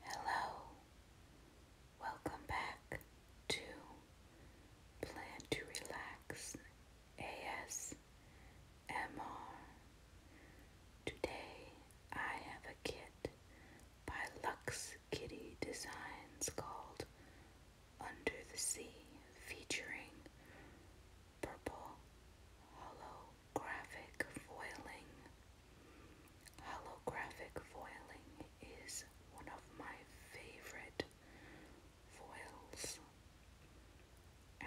Hello, welcome back to Plan to Relax ASMR. Today I have a kit by Lux Kitty Designs called Under the Sea featuring Purple Hollow holographic foiling. Holographic foiling is one of my favorite foils.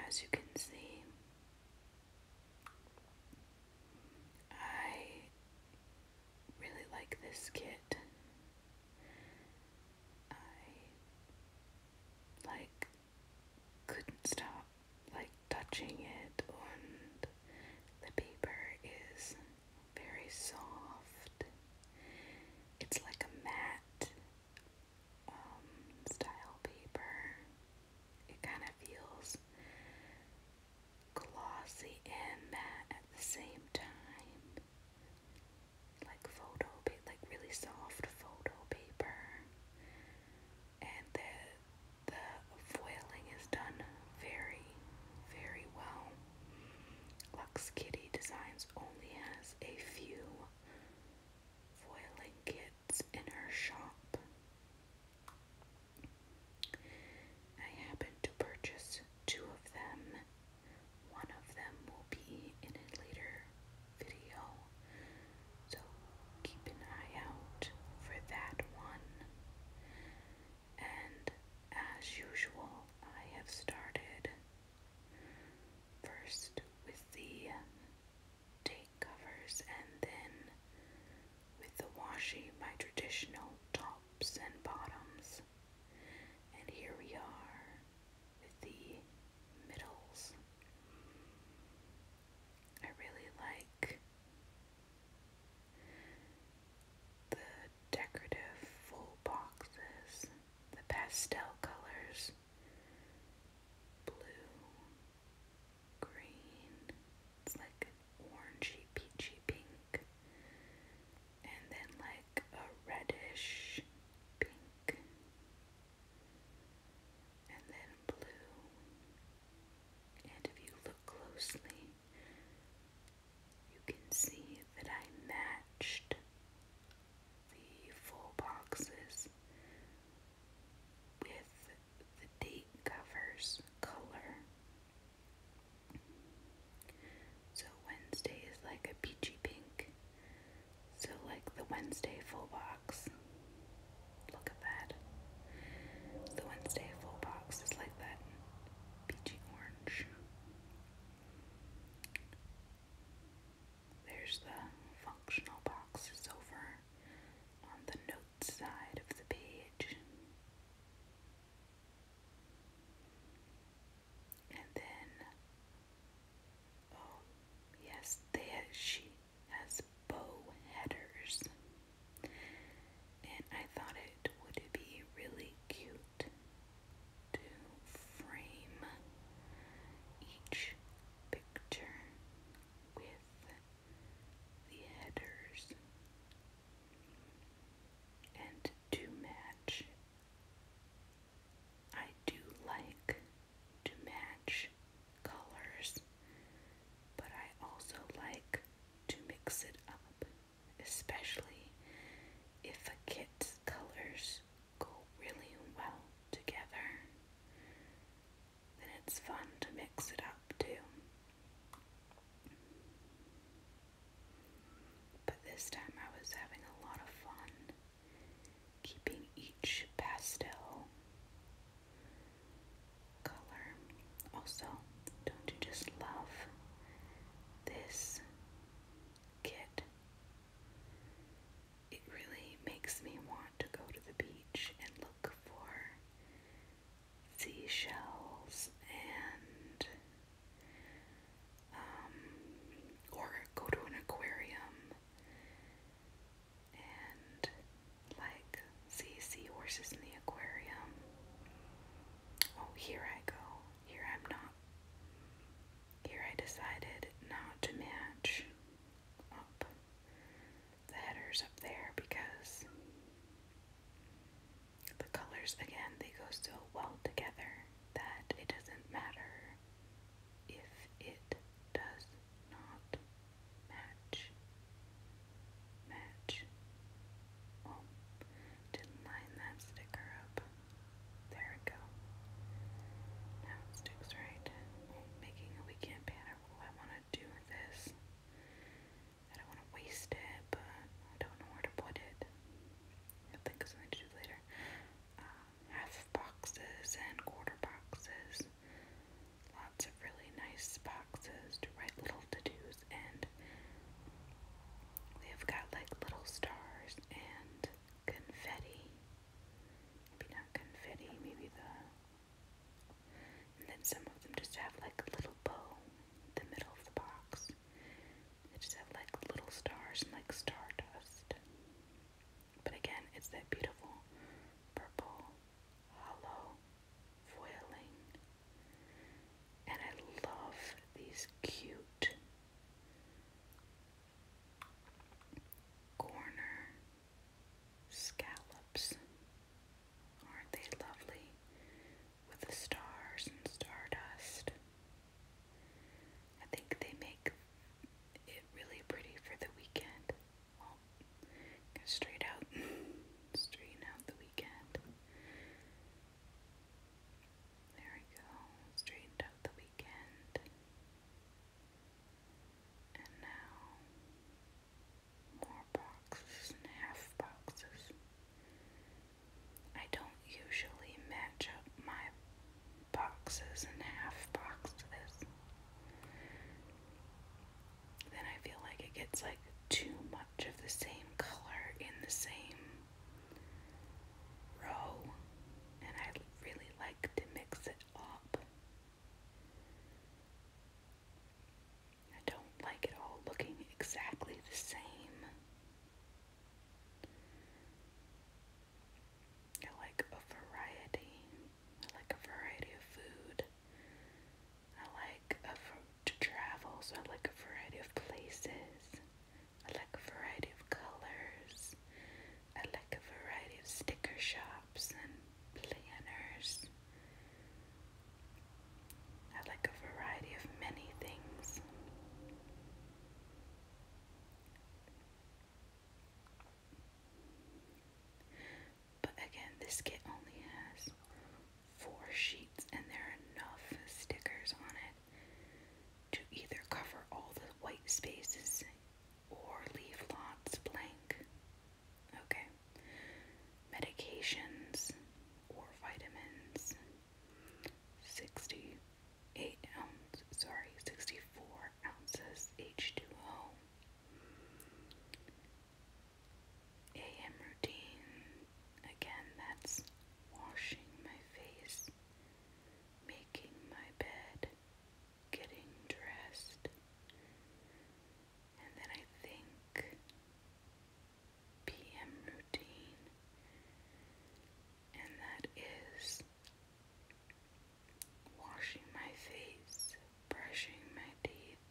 As you can see, I really like this kit. I like couldn't stop like touching it and the paper is very soft. It's like a matte um, style paper. It kind of feels glossy and matte at the same time. Like photo paper, like really soft photo paper. And the the foiling is done very, very well. Lux Kitty Designs only has a few foiling kits in her shop. I happened to purchase two of them. One of them will be in it later video. So keep an eye out for that one. And as usual, I have started first with the date covers and then with the washi, my traditional tops and bottoms. And here we are with the middles. I really like the decorative full boxes, the pastel colors blue, green, it's like an orangey, peachy pink, and then like a reddish pink and then blue. And if you look closely, you can see that I matched the full boxes with the date covers color. So Wednesday is like a peachy pink. So, like the Wednesday full box. Look at that. The Wednesday full box is like that peachy orange. There's the functional boxes over on the notes side of the page. And then Oh, yes, there she has bow headers. And I thought it would be really cute to frame each picture with the headers and to match I do like to match colors, but I also like to mix it up, especially if a kit's colors go really well together. Then it's fun to mix it up too. But this time I was having a lot of fun keeping each pastel color. Also, don't you just love this kit? It really makes me want to go to the beach and look for seashells and um, or go to an aquarium and like see seahorses in the aquarium. Oh, here I go. Here I'm not. Here I decided not to match up the headers up there because the colors again they go so well together that it doesn't matter if it does not match. Match. Oh, didn't line that sticker up. There we go. Now it sticks right. making a weekend banner. Oh, I want to do this. I don't want to waste it, but I don't know where to put it. i think of something to do later. Um, half boxes and quarter boxes. Lots of really nice boxes to write little to dos, and they've got like little stars and confetti. Maybe not confetti, maybe the. And then some of them just have like a little bow the middle of the box. They just have like little stars and like star dust, But again, it's that beautiful purple, hollow foiling. And I love these cute corner scallops. Aren't they lovely? with the stars and stardust. I think they make it really pretty for the weekend. Well, straight out, straighten out the weekend. There we go, straightened out the weekend. And now, more boxes half boxes. I don't usually match up my boxes and half boxes. Then I feel like it gets like too much of the same color in the same row, and I really like to mix it up. I don't like it all looking exactly the same. I like a variety. I like a variety of food. I like to travel, so I like a variety of places. I like a variety of colors. I like a variety of sticker shops and planners. I like a variety of many things. But again, this kit only has four sheets, and there are enough stickers on it to either cover all the white spaces or leave lots blank. Okay medications or vitamins. 68 ounces. sorry, 64 ounces H2O. AM routine, again, that's washing my face, making my bed, getting dressed, and then I think p.m. routine, and that is washing my face, brushing my teeth,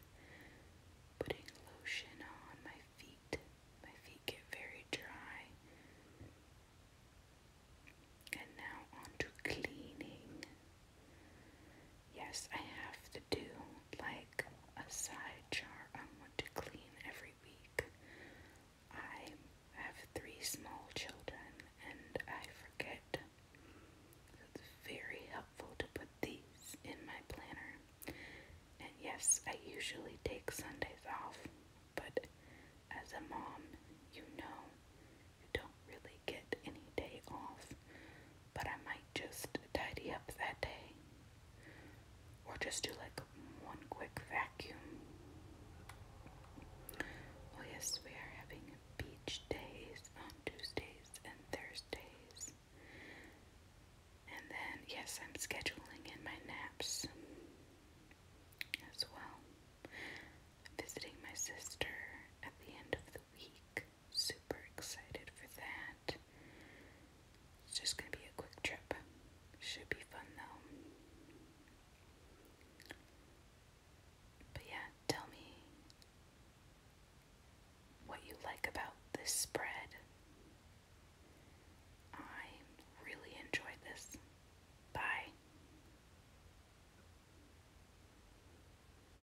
putting lotion on my feet. My feet get very dry. And now on cleaning. Yes, I have to do like a side jar I want to clean every week. I have three small children and I forget. So it's very helpful to put these in my planner. And yes, I usually take Sundays off, but as a mom, you know you don't really get any day off but I might just tidy up that day or just do like one quick vacuum. Oh, yes, we are having beach days on Tuesdays and Thursdays. And then, yes, I'm scheduling in my naps as well. visiting my sister at the end of the week. Super excited for that. It's just going to be a quick trip. Should be fun though. But yeah, tell me what you like about this spread. I really enjoyed this. Bye.